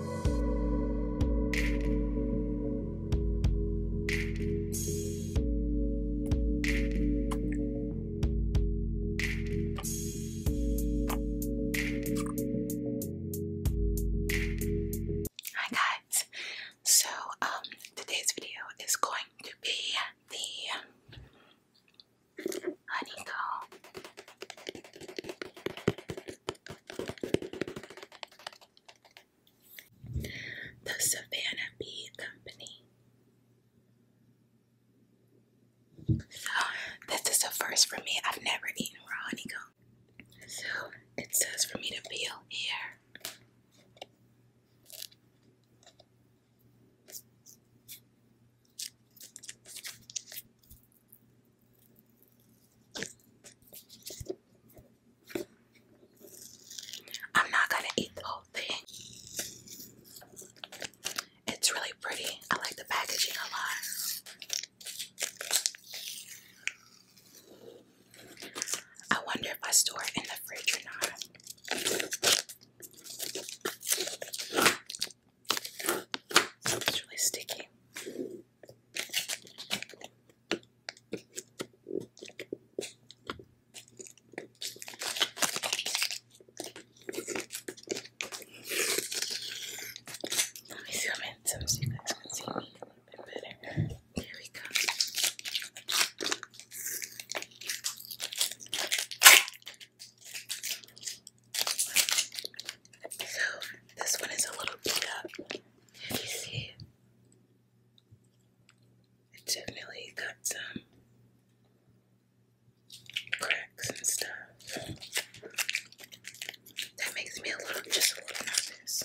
Hi guys, so um today's video is going to be the honeycomb the Savannah Bee Company. So, this is the first for me. I've never eaten raw honeycomb. So, it says for me to peel here. I'm not gonna eat the whole thing. It's really pretty. I like the packaging a lot. I wonder if I store it in the fridge or not. It's really sticky. Let me zoom in so you guys can see me a little bit better. Here we go. So this one is a little beat up. you see, it definitely got some cracks and stuff. That makes me a little, just a little nervous.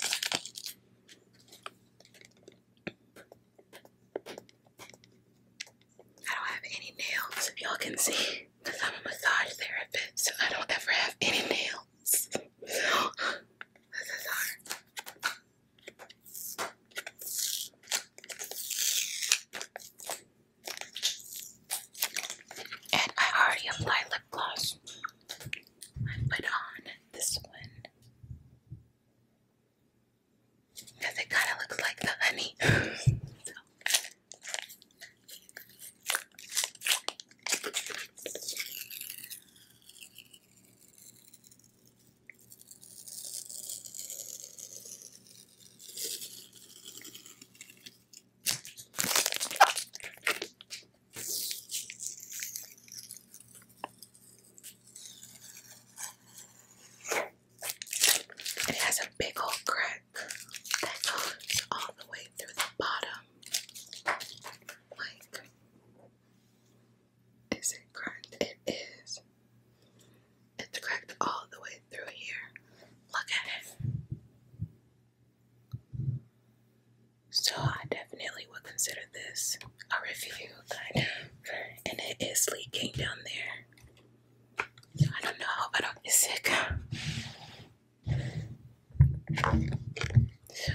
I don't have any nails, if y'all can see. Because I'm a massage therapist and I don't ever have any nails. this is hard. And I already applied lip gloss. I put on this one. Because it kind of looks like the honey. And it has a big old crack that goes all the way through the bottom. Like, is it cracked? It is. It's cracked all the way through here. Look at it. So, I definitely would consider this a review, kind of. And it is leaking down there. I don't know, but I'm sick. So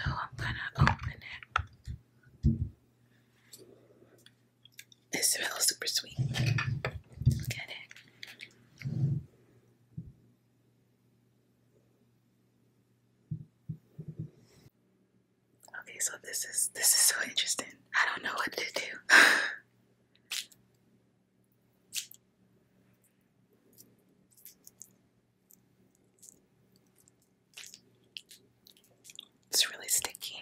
I'm gonna open it. It smells super sweet. Okay, so this is this is so interesting. I don't know what to do. It's really sticky.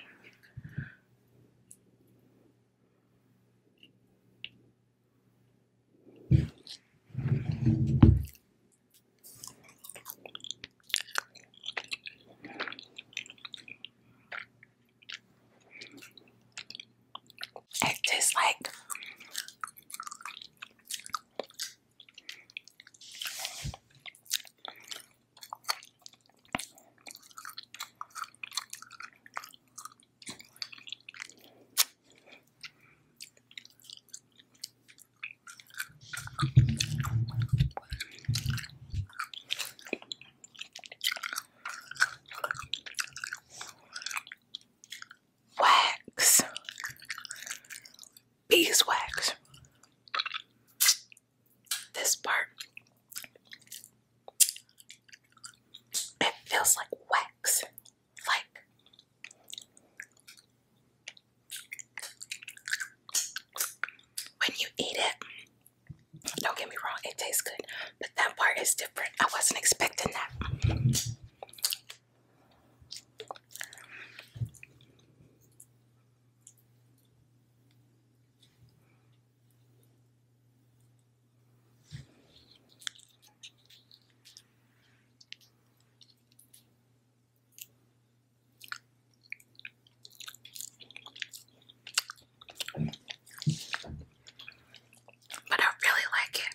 It tastes like Wax. Beeswax. This part. It feels like wax. Like. When you eat it, don't get me wrong, it tastes good, but that part is different. I wasn't expecting that. But I really like it.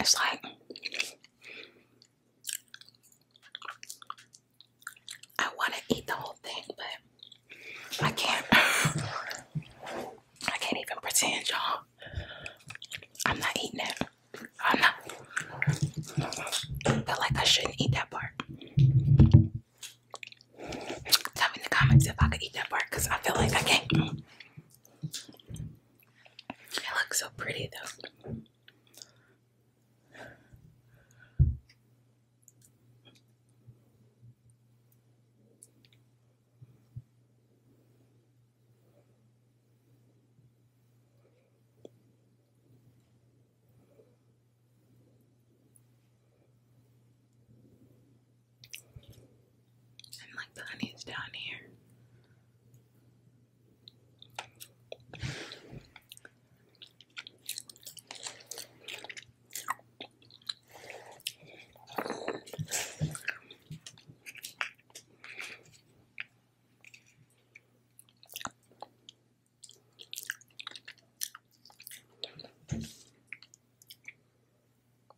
It's like I want to eat the whole thing, but I can't. I can't even pretend, y'all. I'm not eating it. I'm not. I feel like I shouldn't eat that part. Tell me in the comments if I could eat that part, cause I feel like I can't. It looks so pretty though. And like the honey's down here.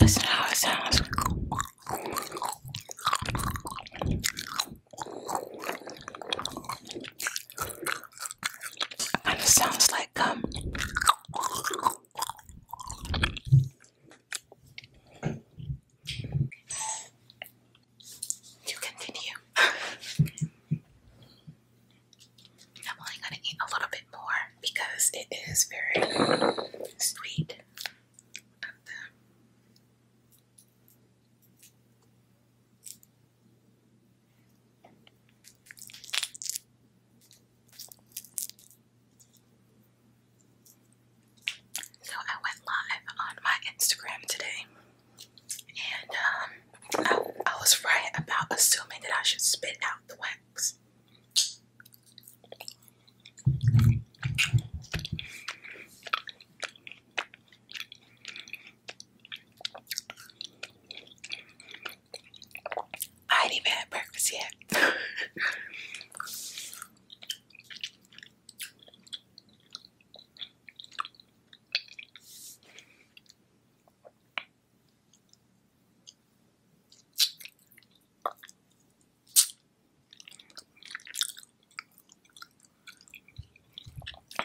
Listen how it sounds. kind of sounds like gum to continue. I'm only gonna eat a little bit more because it is very sweet. So I went live on my Instagram today and um, I, I was right about assuming that I should spit out the wax. I ain't even had breakfast yet.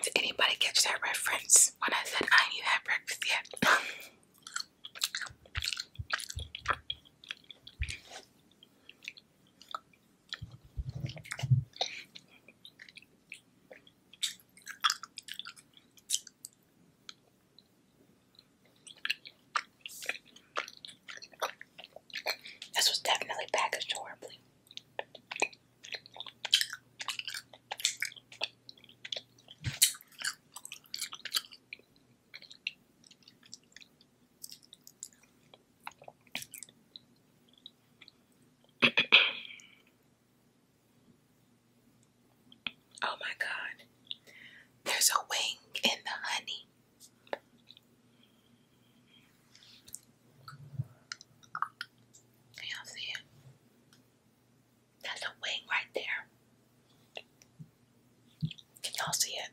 Did anybody catch that reference when I said I ain't even had breakfast yet? This was definitely packaged horribly. oh my God. There's a wing in the honey. y'all see it? That's a wing right there. Can y'all see it?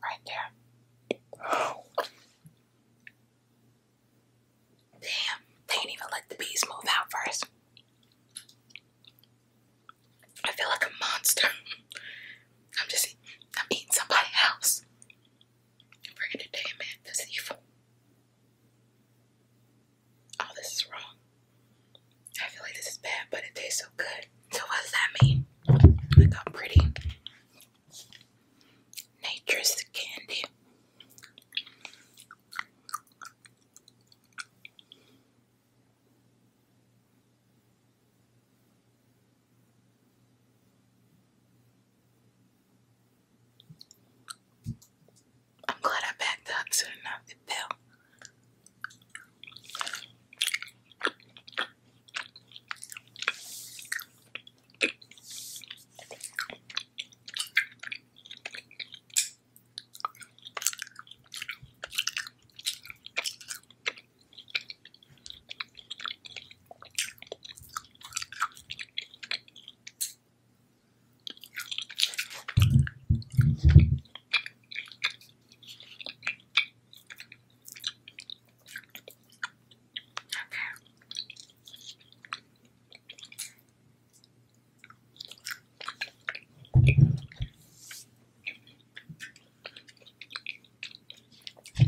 Right there. Damn, they ain't even let the bees move out first. I feel like a monster. I'm just, eating somebody else for entertainment that's evil. All this is wrong. I feel like this is bad, but it tastes so good. So what does that mean? Look how pretty. Nature's candy. I'm glad I backed up to enough. It fell.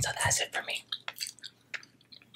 So that's it for me.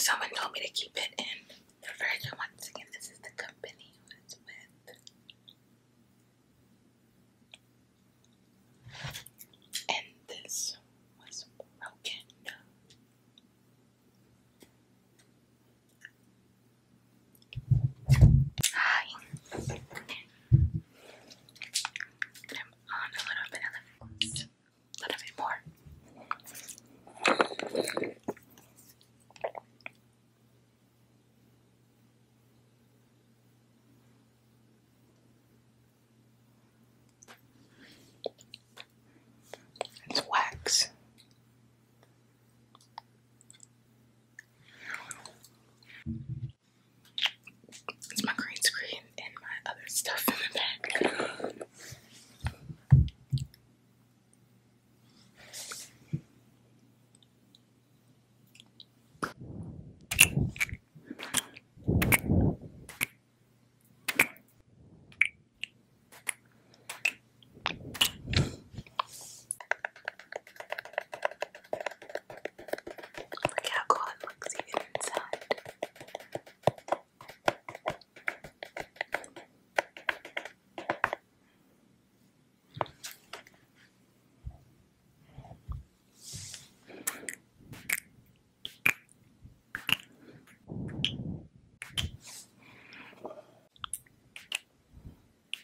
Someone told me to keep it in the fridge. Once again, this is the company it's with. And this was broken. Hi. I'm on a little bit of the a little bit more. It's wax. It's my green screen and my other stuff in the back. Look how cool it looks inside. Maybe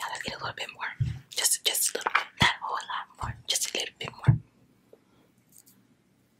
I'll just a little bit more. Just just a little bit. Not a lot more. Just a little bit more.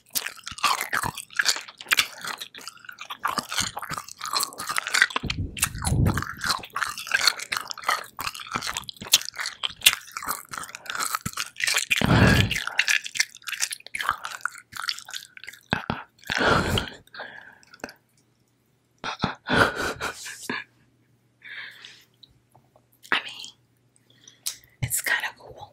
I mean, it's kind of cool.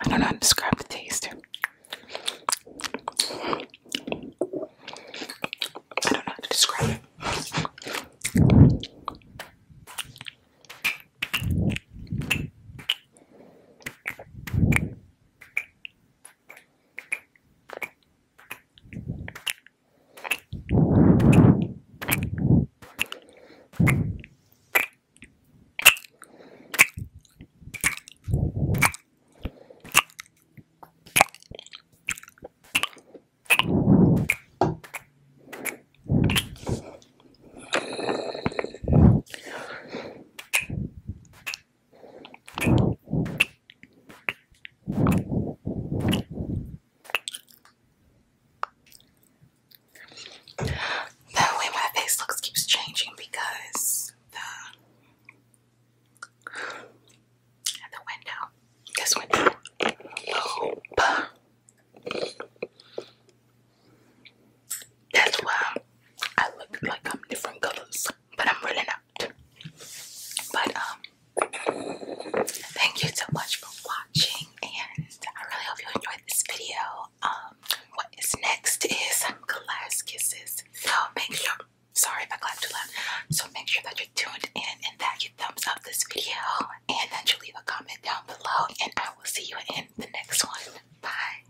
I don't know how to describe the taste. I don't know how to describe it. The way my face looks keeps changing because the and the window. This window. That's why I look like I'm different colors, but I'm really not. But um thank you so much for watching and I really hope you enjoyed this video. Um what is next is glass kisses. So make sure sorry if I clapped too loud. So make sure that you're tuned in and that you thumbs up this video and that you leave a comment down below and I will see you in the next one. Bye.